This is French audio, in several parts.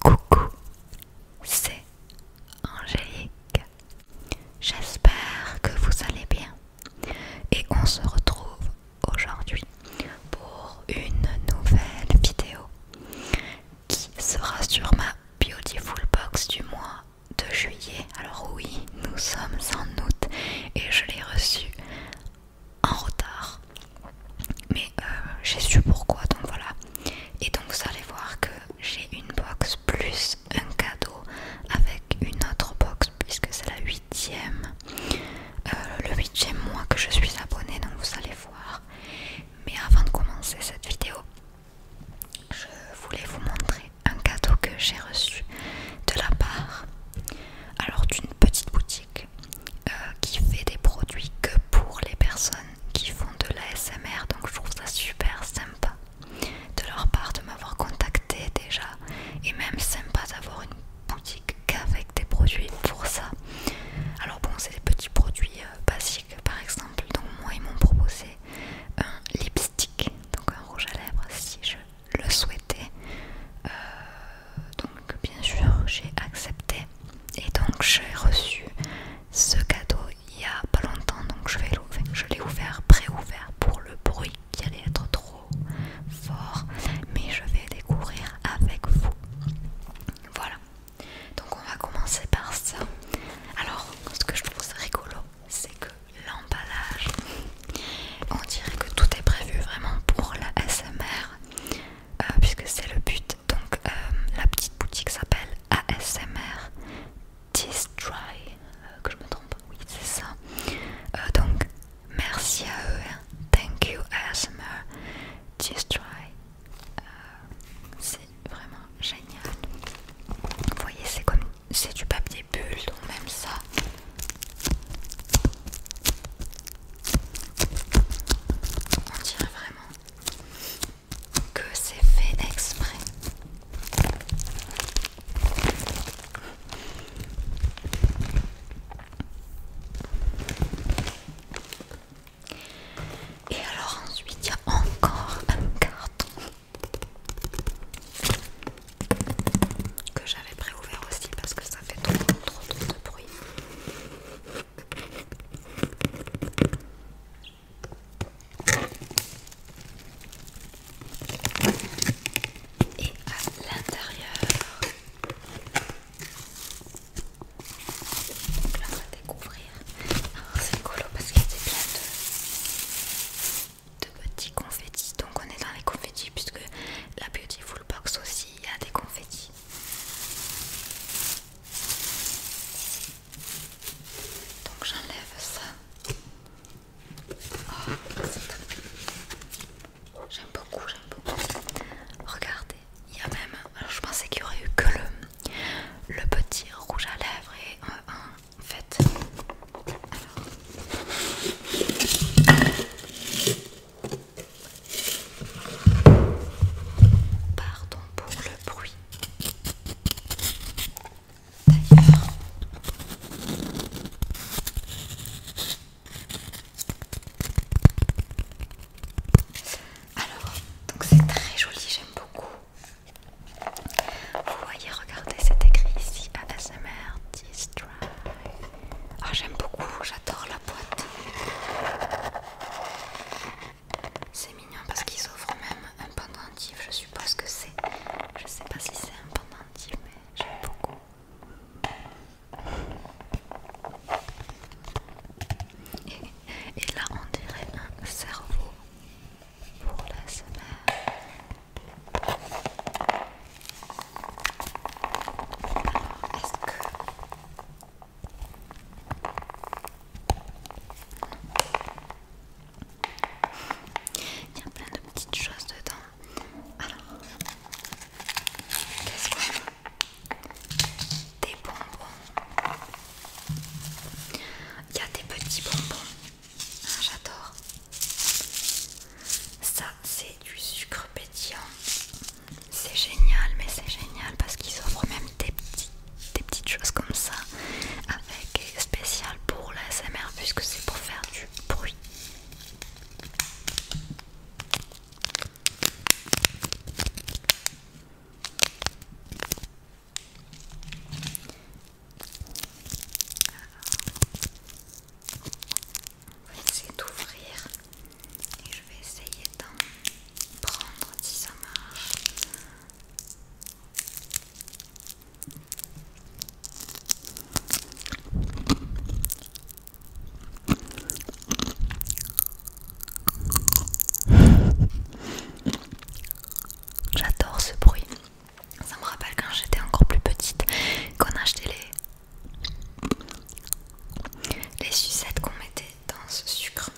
Coucou, c'est Angélique. J'espère que vous allez bien et on se retrouve aujourd'hui pour une nouvelle vidéo qui sera sur ma Beautiful Box du mois de juillet. Alors oui, nous sommes en août et je l'ai reçue en retard mais euh, j'ai su pourquoi donc voilà et donc vous allez voir que j'ai une box plus un cadeau avec une autre box puisque c'est la huitième euh, le huitième mois que je suis abonnée donc vous allez voir mais avant de commencer cette vidéo je voulais vous montrer un cadeau que j'ai reçu de la part alors d'une petite boutique euh, qui fait des produits que pour les personnes qui font de l'ASMR, donc je trouve ça super sympa de leur part de m'avoir contacté déjà et même sympa d'avoir une boutique qu'avec des produits pour ça. Alors bon, c'est des petits produits euh, basiques par exemple, donc moi ils m'ont proposé un lipstick, donc un rouge à lèvres si je le souhaitais. Euh, donc bien sûr j'ai accepté et donc j'ai reçu ce cadeau il y a pas longtemps donc je vais je l'ai ouvert pré-ouvert pour le bruit qui allait être trop fort mais je vais découvrir avec vous voilà donc on va commencer par ça alors ce que je trouve rigolo c'est que l'emballage on dirait que tout est prévu vraiment pour la SMR euh, puisque c'est le but. Donc euh, la petite boutique s'appelle ASMR Distry, euh, que je me trompe, oui c'est ça. donc merci à eux, hein. thank you ASMR Distry, c'est vraiment génial. Vous voyez c'est comme c'est du papier bulle, donc même ça on dirait vraiment que c'est fait exprès. Et alors ensuite, il y a encore un carton que j'avais préouvert aussi parce que ça fait trop trop de bruit. Et à l'intérieur, donc là on va découvrir. C'est colo parce qu'il y a des plein de, petits confettis. Donc on est dans les confettis puisque la Beautiful Box aussi il y a des confettis. Donc j'enlève ça. Oh, j'aime beaucoup, j'aime beaucoup. Regardez, il y a même. Alors je pensais qu'il y aurait eu que le, petit rouge à lèvres et euh, en fait. Alors. Pardon pour le bruit. D'ailleurs, alors donc c'est très joli, j'aime beaucoup. Vous voyez, regardez, cet écrit ici ASMR Distro. Ah, j'aime beaucoup, j'adore la boîte. C'est mignon parce qu'ils ouvrent même un pendentif, je suppose que c'est. Je sais pas si c'est un pendentif, mais j'aime beaucoup. Et, là, on dirait un cerveau pour la semaine. Il y a plein de petites choses dedans. Alors, qu'est-ce qu'on a Des bonbons. Il y a des petits bonbons. Ah, j'adore. Ça, c'est du sucre pétillant. C'est génial, mais c'est génial parce qu'ils offrent même des, petits, des petites choses comme ça avec spécial pour la SMR puisque c'est pour faire du bruit. On va essayer d'ouvrir et je vais essayer d'en prendre si ça marche. J'adore ce bruit. Ça me rappelle quand j'étais encore plus petite, qu'on achetait les les sucettes qu'on mettait dans ce sucre.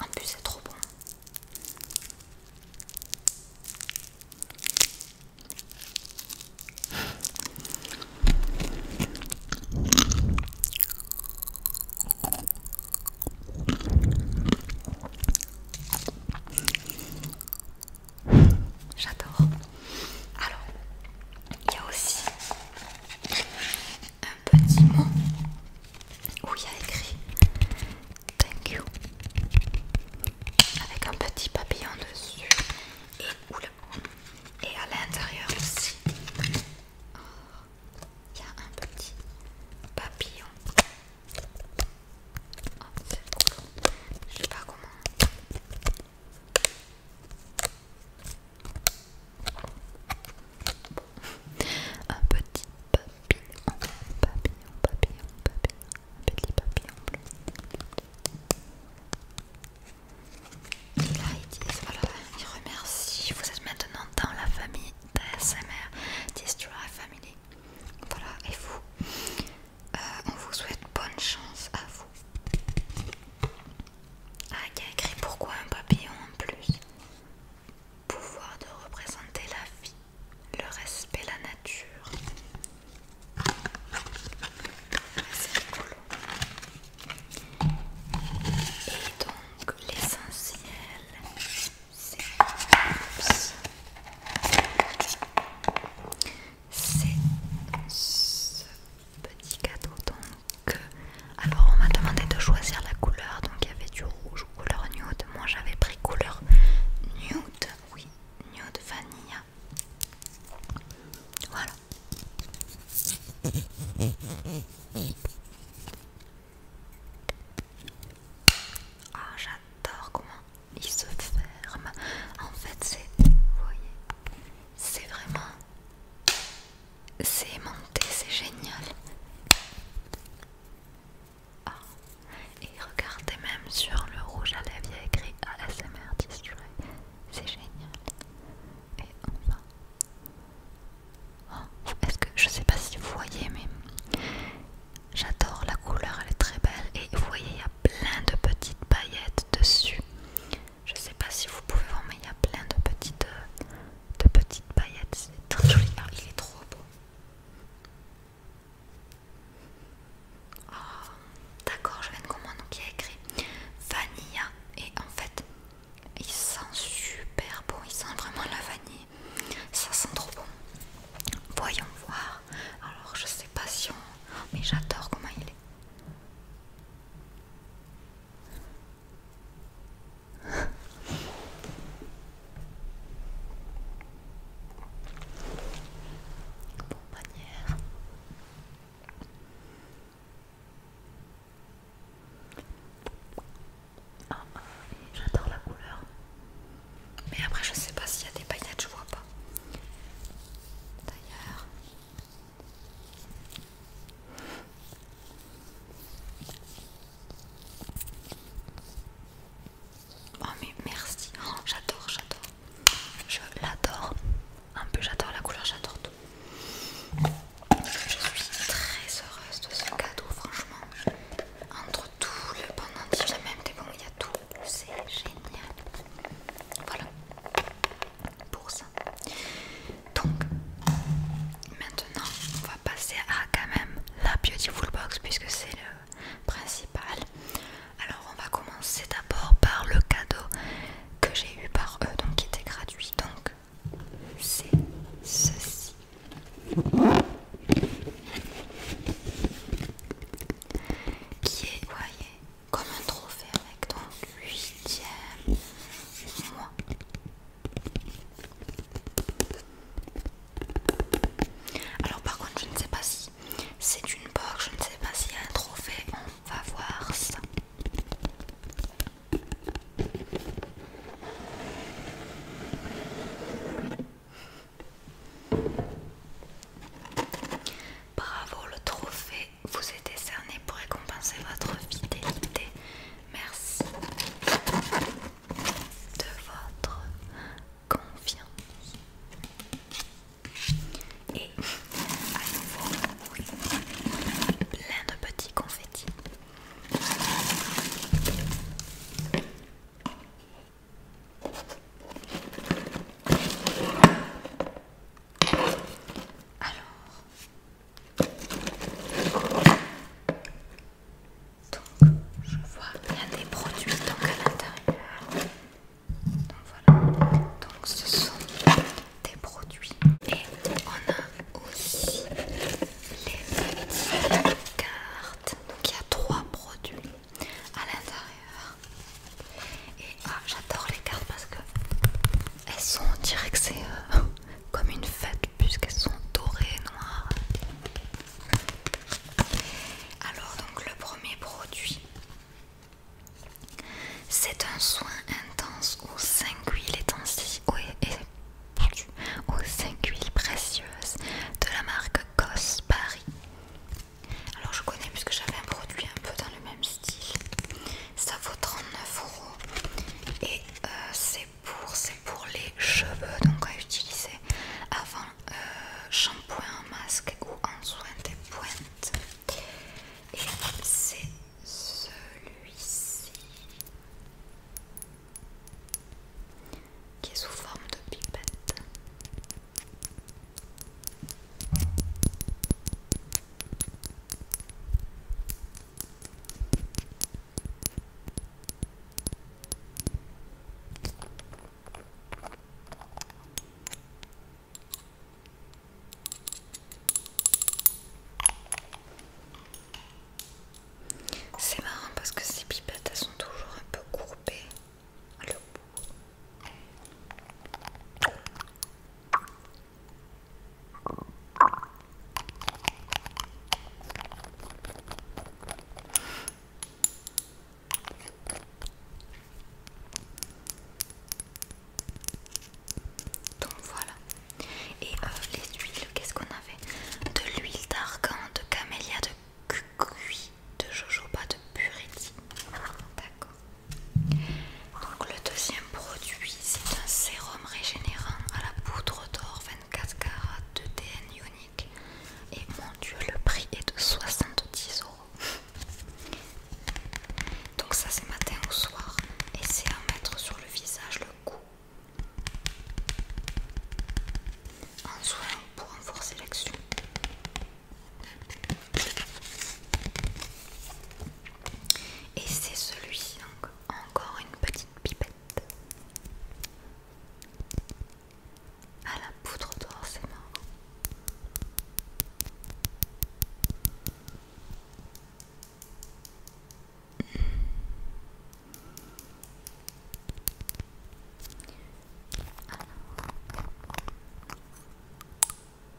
En plus, c'est trop bon. J'adore. Alors, il y a aussi un petit mot où il y a écrit Thank you avec un petit papillon dessus et, et à l'intérieur aussi il y a un petit papillon. Oh, c'est cool. Je sais pas comment un petit papillon, papillon, papillon, papillon, un petit papillon bleu. voilà, ils remercient. Vous êtes maintenant dans la famille d'ASMR, Destroy Family. Voilà, et vous euh, on vous souhaite bonne chance à vous. Ah, qui a écrit pourquoi un papillon en plus Pouvoir de représenter la vie, le respect, la nature. C'est Et donc, l'essentiel, c'est c'est ce petit cadeau donc euh, alors on m'a demandé de choisir la couleur donc il y avait du rouge ou couleur nude moi j'avais pris couleur nude oui nude vanille, voilà ah j'adore comment il se ferme. En fait, c'est, vous voyez, c'est vraiment, c'est aimanté, c'est génial. Ah. Et regardez même sur le rouge à lèvres, il a écrit ASMR Destroy. C'est génial. Et enfin. Oh, est-ce que je sais pas si vous voyez, mais J'adore la couleur, elle est très belle et vous voyez il y a plein de petites paillettes dessus. Je sais pas si vous pouvez voir mais il y a plein de petites, euh, de petites paillettes. C'est très joli. Ah, il est trop beau. Ah, d'accord, je viens de comprendre qui a écrit Vanilla et en fait il sent super bon, il sent vraiment la vanille. Ça sent trop bon. Voyons voir. Alors je sais pas si on... Mais j'adore comment il est. Bon, manière. Ah, ah, j'adore la couleur. Mais après, je sais pas s'il y a des paillettes, je vois pas. D'ailleurs. Oh mais merci, oh, j'adore, j'adore, je l'adore, un peu j'adore la couleur, j'adore tout. Je suis très heureuse de ce cadeau, franchement. Entre tout le pendentif, même des bons, il y a tout, c'est génial. Voilà pour ça. Donc maintenant, on va passer à quand même la full Box puisque c'est le principal. Alors on va commencer d'abord par le cadeau que j'ai eu par eux, donc qui était gratuit. Donc c'est ceci qui est, voyez, comme un trophée avec ton huitième mois. Alors par contre je ne sais pas si c'est une box, je ne sais pas s'il y a un trophée, on va voir ça. Bravo, le trophée vous est décerné pour récompenser votre fidélité. Merci de votre confiance. Et à nouveau, plein de petits confettis. Alors, donc je vois qu'il y a des produits donc à l'intérieur. Donc voilà, donc ce sont des produits et on a aussi les petites cartes. Donc il y a trois produits à l'intérieur. Et ah, j'adore les cartes parce que elles sont, on dirait que c'est euh, comme une fête puisqu'elles sont dorées, noires. Alors donc le premier produit, c'est un soin intense aux 5 huiles aux 5 huiles précieuses de la marque Cos Paris. Alors je connais puisque j'avais un produit un peu dans le même style. Ça vaut 39 euros et euh, c'est pour, les cheveux donc à utiliser avant euh, shampoing, en masque ou en soin des pointes. Et c'est celui-ci qui est sous forme de pipette. C'est marrant parce que ces pipettes elles sont toujours un peu courtes. Donc voilà. Et euh, les huiles, qu'est-ce qu'on avait De l'huile d'argan, de camélia, de cucuy de jojoba de D'accord. Donc le deuxième produit, c'est un sérum régénérant à la poudre d'or 24 carats de DN Ionique. Et mon dieu, le prix est de 70 euros. Donc ça c'est matin au soir. Et c'est à mettre sur le visage, le cou, ah, en soin pour renforcer l'action. Et c'est celui-ci, donc encore une petite pipette. À la poudre d'or, c'est marrant.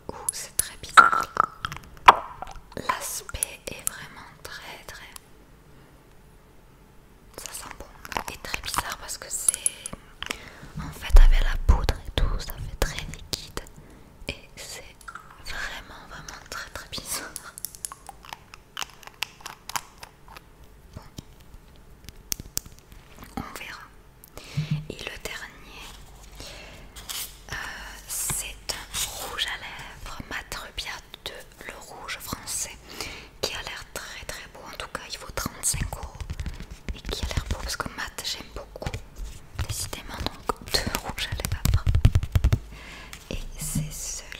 Ouh, c'est très bizarre. L'aspect est vraiment très très... Ça sent bon et très bizarre parce que c'est... En fait avec la poudre et tout, ça fait très liquide. Et c'est vraiment vraiment très très bizarre. On verra. Et le dernier, euh, c'est un rouge à lèvres mat rubia de le rouge français qui a l'air très très beau. En tout cas, il vaut 35 euros et qui a l'air beau parce que mat j'aime beaucoup. Décidément, donc deux rouges à lèvres. Et c'est celui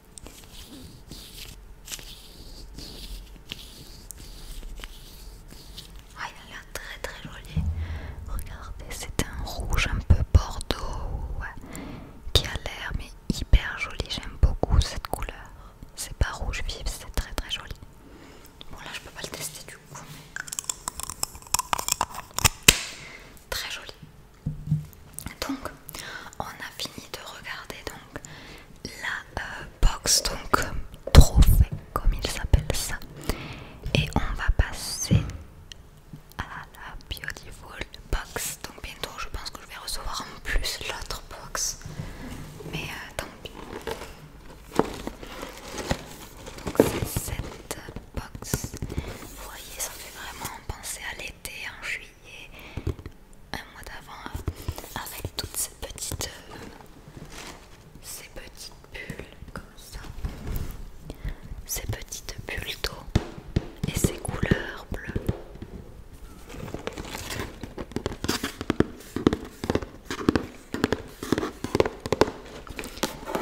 Ah, il a l'air très très joli. Regardez, c'est un rouge un peu bordeaux qui a l'air mais hyper joli. J'aime beaucoup cette couleur. C'est pas rouge vif, c'est très très joli. Bon là je peux pas le tester du coup. Très joli. Donc on a fini de regarder donc la euh, box donc trophée comme il s'appelle ça et on va passer à la beautiful box donc bientôt je pense que je vais recevoir en plus l'autre box mais euh, tant pis donc c'est cette box vous voyez ça fait vraiment penser à l'été en hein. juillet un mois d'avant, euh, avec toutes ces petites, euh, ces petites bulles comme ça, ces petites bulles d'eau et ces couleurs bleues.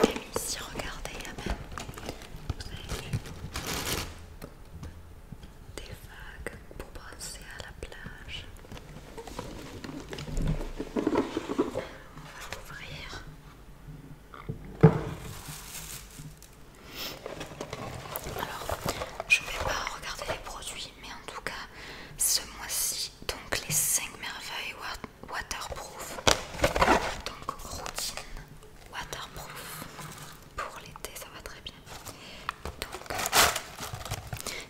Et ici, regardez, même, des vagues pour passer à la plage. On va ouvrir. Alors, je ne vais pas regarder les produits, mais en tout cas, ce mois-ci, donc les 5 merveilles waterproof, donc routine waterproof pour l'été, ça va très bien, donc,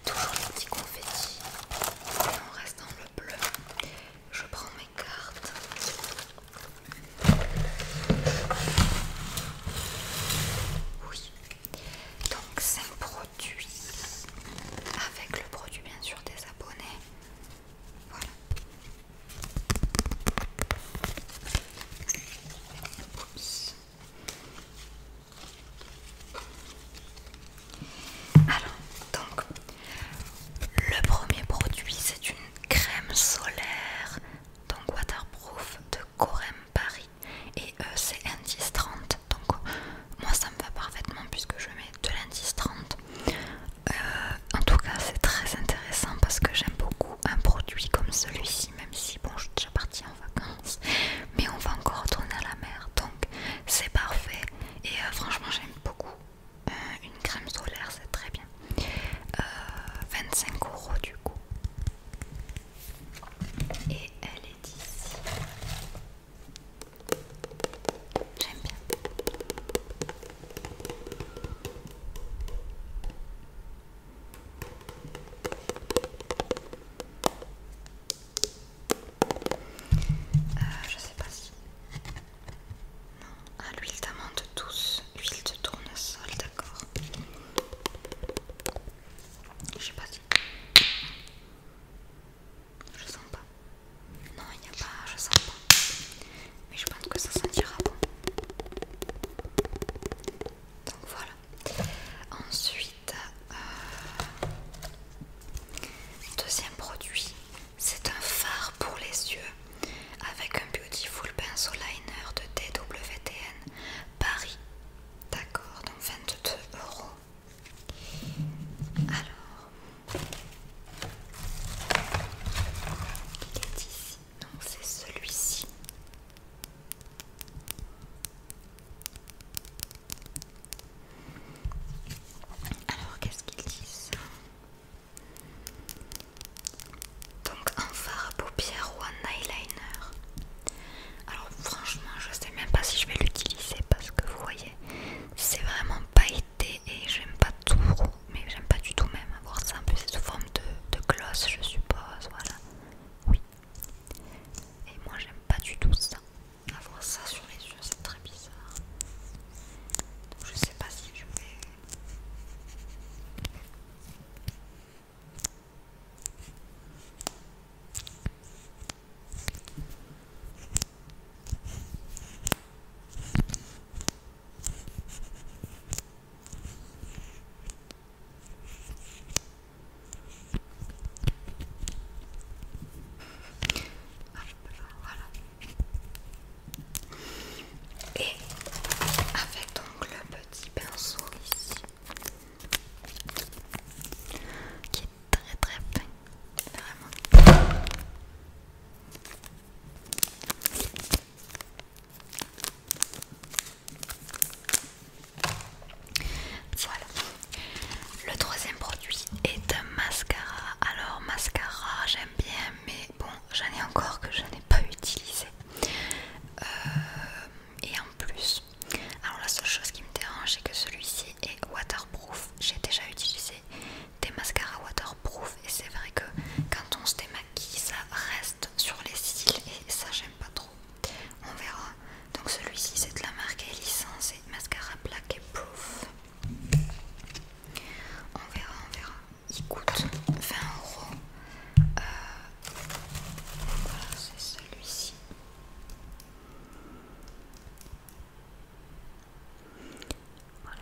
toujours les petits confettis. Et on reste dans le bleu. Je prends mes cartes. Oui. Donc 5 produits. Avec le produit bien sûr des abonnés. Voilà. Alors, donc, le premier produit, c'est une crème solaire, donc waterproof de Corem Paris, et euh, c'est indice 30. Donc, moi, ça me va parfaitement puisque je mets de l'indice 30. Euh, en tout cas, c'est très intéressant parce que j'aime beaucoup un produit comme celui-ci, même si bon je suis déjà partie en vacances mais on va encore retourner à la mer donc c'est parfait et euh, franchement j'aime beaucoup euh, une crème solaire c'est très bien 25 euh, euros du coup et elle est ici j'aime bien euh, je sais pas si. Non. Ah, l'huile d'amande douce, huile de tournesol, d'accord. Je sais pas si. Je sens pas. Non, il n'y a pas, je sens pas mais je pense que ça sentira bon. Donc voilà. Ensuite, euh, deuxième produit, c'est un fard pour les yeux avec un beautiful pencil liner de DWTN Paris. D'accord, donc 22 euros. Alors, il est ici. Non, c'est celui-ci. Alors, qu'est-ce qu'ils disent Donc, un fard à paupières ou un eyeliner. Alors, franchement, je sais même pas si je vais l'utiliser parce que vous voyez, c'est vraiment pailleté et j'aime pas trop mais j'aime pas du tout même avoir ça. En plus, c'est sous forme de, gloss, je suppose. Voilà, oui. Et moi, j'aime pas du tout ça. Avoir ça sur les yeux, c'est très bizarre. je sais pas si je vais. Et avec donc le petit pinceau ici, qui est très très fin, vraiment. Voilà. Le troisième produit est un mascara. Alors mascara j'aime bien mais bon j'en ai encore que je n'ai pas utilisé. Euh, et en plus, alors la seule chose qui me dérange c'est que celui-ci est waterproof. J'ai déjà utilisé des mascaras waterproof et c'est vrai que quand on se démaquille qui ça reste sur les cils et ça j'aime pas trop. On verra. Donc celui-ci c'est de la marque licence et mascara black et proof. On verra, on verra. Il coûte 20 euros. Euh, voilà, c'est celui-ci. Voilà.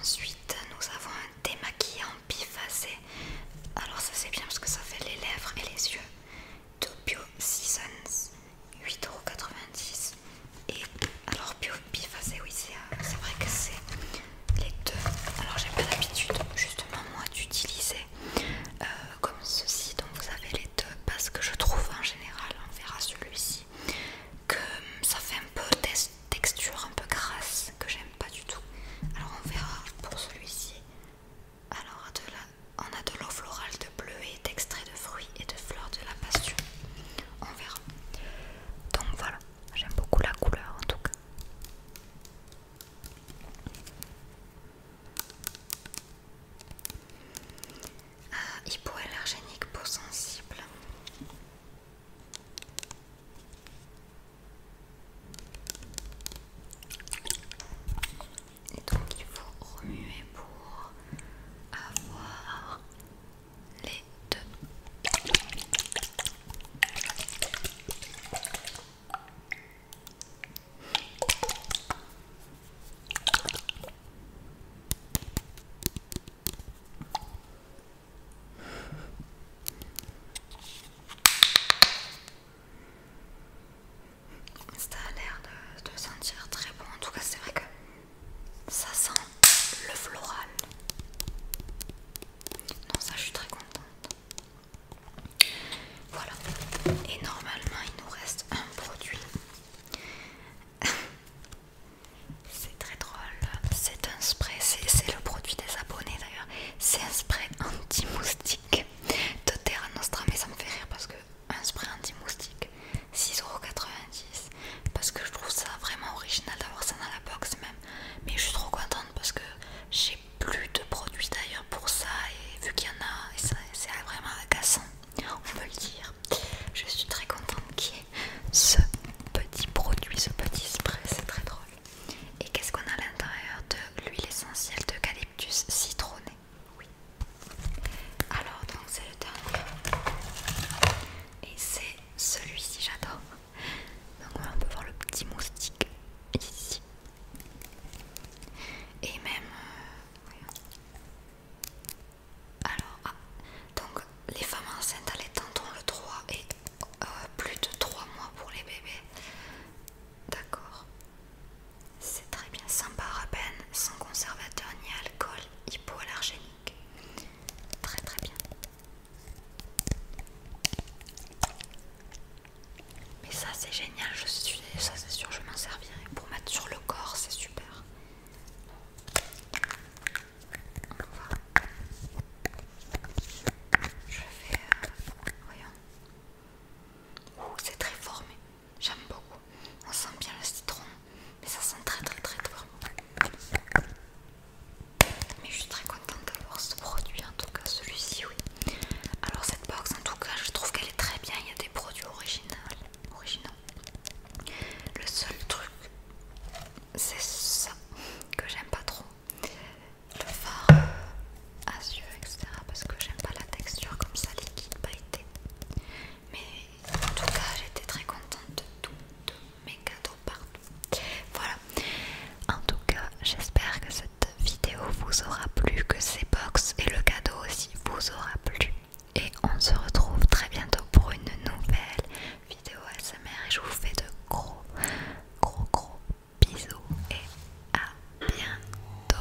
Ensuite, nous avons un démaquillant bifacé. Alors ça c'est bien parce que ça fait les lèvres et les yeux Topio Seasons. 8,90€ et alors bio oui euh, c'est vrai que c'est les deux alors j'ai pas l'habitude justement moi d'utiliser euh, comme ceci donc vous avez les deux parce que je trouve en général on verra celui-ci que ça fait un peu texture un peu grasse que j'aime pas du tout alors on verra pour celui-ci alors à delà on a de l'eau florale de bleu et d'extrait de fruits et de fleurs de la passion on verra. Donc voilà, j'aime beaucoup la couleur en tout cas. Euh, hypoallergénique, peau sensible. Et donc il faut remuer pour avoir les deux. Ça a l'air de, de sentir très bon. En tout cas, c'est vrai que ça sent le floral. Non, ça je suis très contente. Voilà. Et normalement, il nous reste un produit. c'est très drôle. C'est un spray. C'est le produit des abonnés d'ailleurs. C'est un spray anti-moustique de Terra Nostra. Mais ça me fait rire parce que un spray anti-moustique 6,90€ parce que je trouve ça vraiment original d'avoir ça dans la box même mais je suis trop contente parce que j'ai plus de produits d'ailleurs pour ça et vu qu'il y en a c'est vraiment agaçant on peut le dire je suis très contente qu'il y ait ce petit produit ce petit spray c'est très drôle et qu'est-ce qu'on a à l'intérieur de l'huile essentielle d'eucalyptus citronné oui. Alors donc c'est le dernier et c'est celui-ci j'adore. Donc on peut voir le petit moustique ici et même euh, alors ah, donc les femmes enceintes l'étant tendons le 3 et euh, plus de 3 mois pour les bébés. D'accord. C'est très bien, sans peine, sans conservateur ni alcool, hypoallergénique. Très très bien. Mais ça c'est génial, je suis ça c'est sûr, je m'en servirai pour mettre sur le corps, c'est super. On va. Je vais. Euh, voyons. voyons. C'est très formé. J'aime beaucoup. On sent bien le citron, mais ça sent très très très fort. Mais je suis très contente d'avoir ce produit, en tout cas celui-ci, oui. Alors cette box, en tout cas, je trouve qu'elle est très bien. Il y a des produits originaux. originaux. Le seul truc, c'est ça que j'aime pas trop. Le fard euh, à yeux, etc. Parce que j'aime pas la texture comme ça, liquide, pailleté mais en tout cas j'étais très contente de tous mes cadeaux partout. Voilà. En tout cas, j'espère que cette vidéo vous aura plu, que ces box et le cadeau aussi vous aura plu. Et on se retrouve très bientôt pour une nouvelle vidéo SMR. et je vous fais de gros gros gros bisous et à bientôt